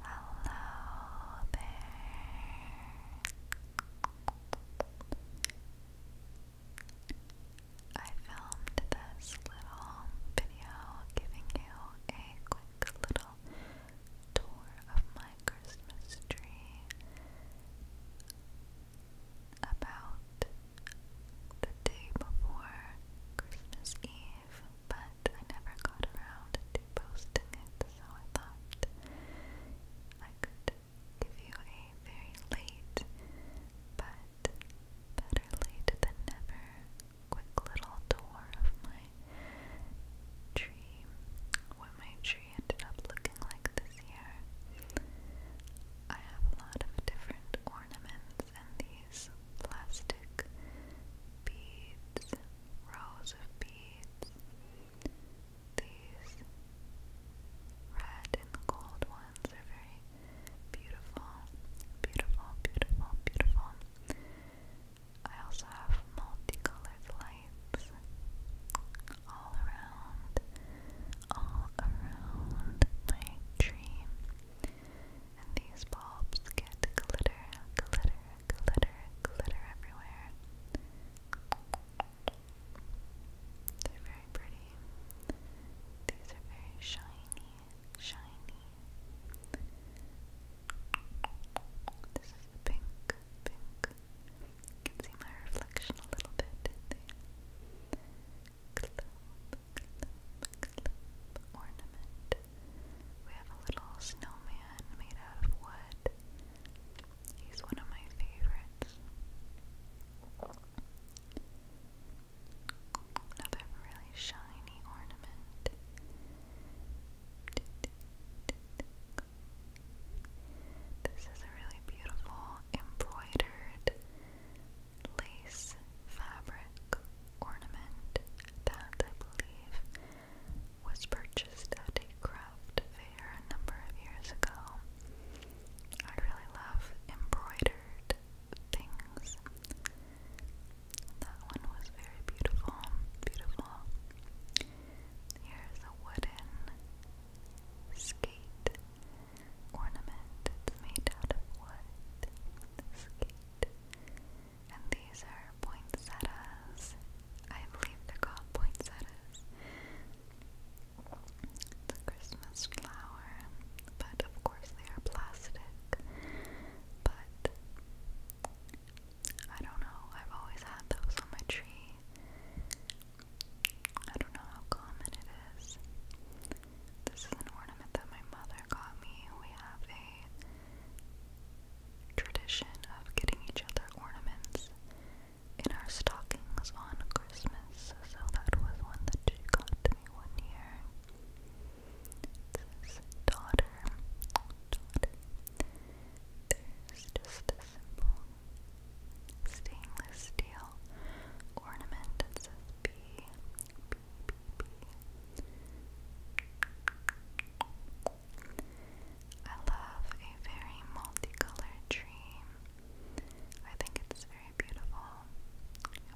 Hello there. I filmed this little video giving you a quick little tour of my Christmas tree about the day before Christmas Eve but I never got around to posting it, so I thought I could give you a very late, but better late than never, quick little tour of my tree, what my tree ended up looking like this year. I have a lot of different ornaments and these plastic beads, rows of beads, these red and gold ones are very beautiful, beautiful, beautiful, beautiful. I also have multicolored lights all around, all around my tree. And these bulbs get glitter, glitter, glitter, glitter everywhere. They're very pretty. These are very shiny, shiny. This is pink, pink. You can see my reflection a little bit club, club, ornament. We have a little snowman made out of wood. He's one of my favorites. Another really shiny ornament. This is a really beautiful embroidered lace fabric ornament that I believe was purchased at a craft fair a number of years ago. I really love embroidered things. That one was very beautiful, beautiful. Here's a wooden skate ornament. It's made out of wood, skate. And these are poinsettias. I believe they're called poinsettias. It's a Christmas flower, but of course they are plastic. But I don't know, I've always had those on my tree. I don't know how common it is. This is an ornament that my mother got me. We have a tradition of getting each other ornaments in our stockings on Christmas, so that was one that she got to me one year. This daughter, daughter. There's just a simple stainless steel ornament that love a very multicolored tree. I think it's very beautiful.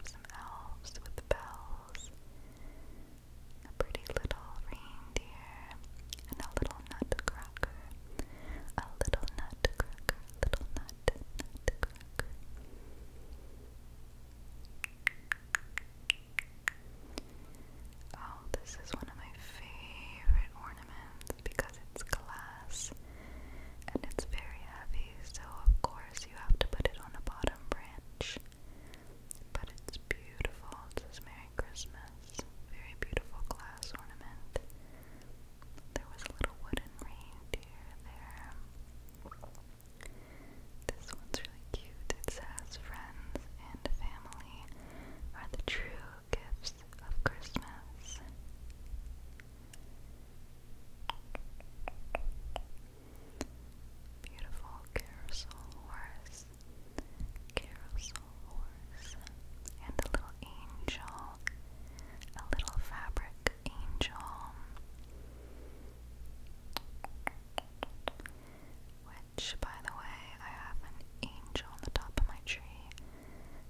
some elves with bells, a pretty little reindeer, a little nutcracker. A little nutcracker, little nut Oh, this is one of my favorite ornaments because it's glass and it's very heavy, so of course you have to put it on a bottom branch. But it's beautiful. It says Merry Christmas. Very beautiful glass ornament. There was a little wooden reindeer there. This one's really cute. It says, Friends and family are the true gifts of Christmas. Beautiful carousel horse. Carousel and a little angel, a little fabric angel, which, by the way, I have an angel on the top of my tree,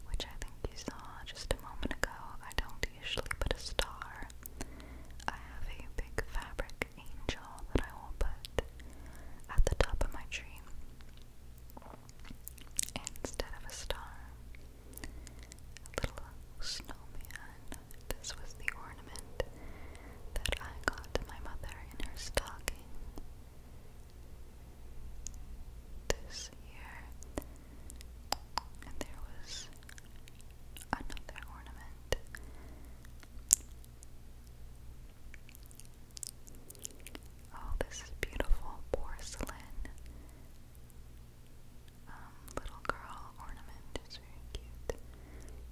which I think you saw just a moment ago. I don't usually put a star. I have a big fabric angel that I will put at the top of my tree. Instead of a star, a little snowman. This was the ornament that I got my mother in her stocking this year. And there was another ornament. Oh, this is beautiful porcelain um, little girl ornament. It's very cute.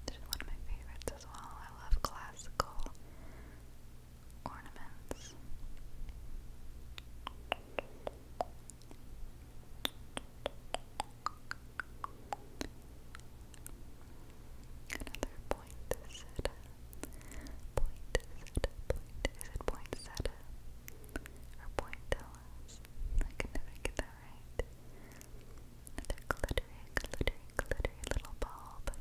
This one of my favorites as well. I love classical ornaments. Another point Point point, is it point Or point I can never get that right. Another glittery, glittery, glittery little bulb.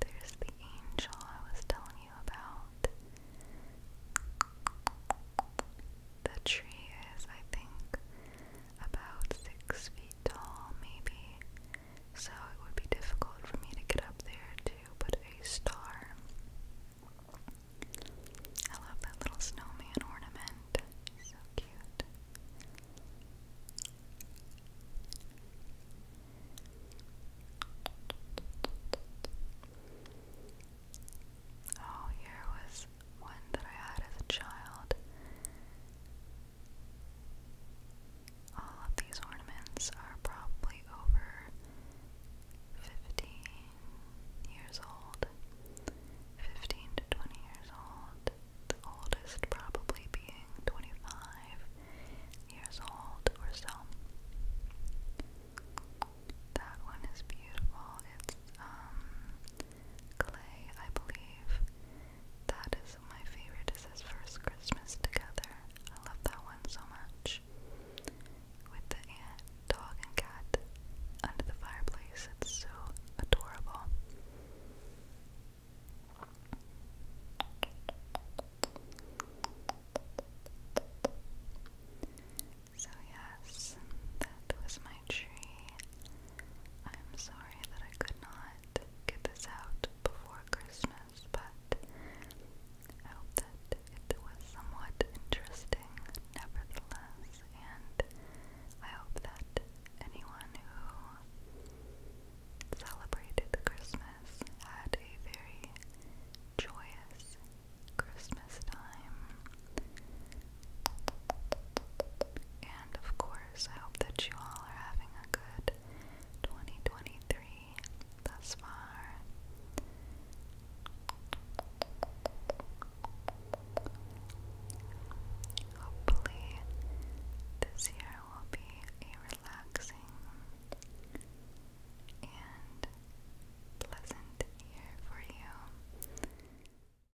There's the angel I was telling you about. The tree is, I think, about six feet tall, maybe so it would be difficult for me to get up there to put a star. I love that little snowman ornament. so cute. Oh, here was one that I had as a child. All of these ornaments are probably over 15 years old, 15 to 20 years old, the oldest probably being 25 years old or so. That one is beautiful. It's um Clay, I believe. That is my favorite. Is his first Christmas together. I love that one so much. With the ant, dog, and cat under the fireplace, it's so adorable. So, yes, that was my tree. I'm sorry that I could not get this out before Christmas, but I hope that it was somewhat interesting nevertheless, and I hope that anyone who celebrated Christmas had a very joyous Christmas time. And of course, I hope that you all are having a good 2023 thus far. Hopefully, this year will be a relaxing and pleasant year for you.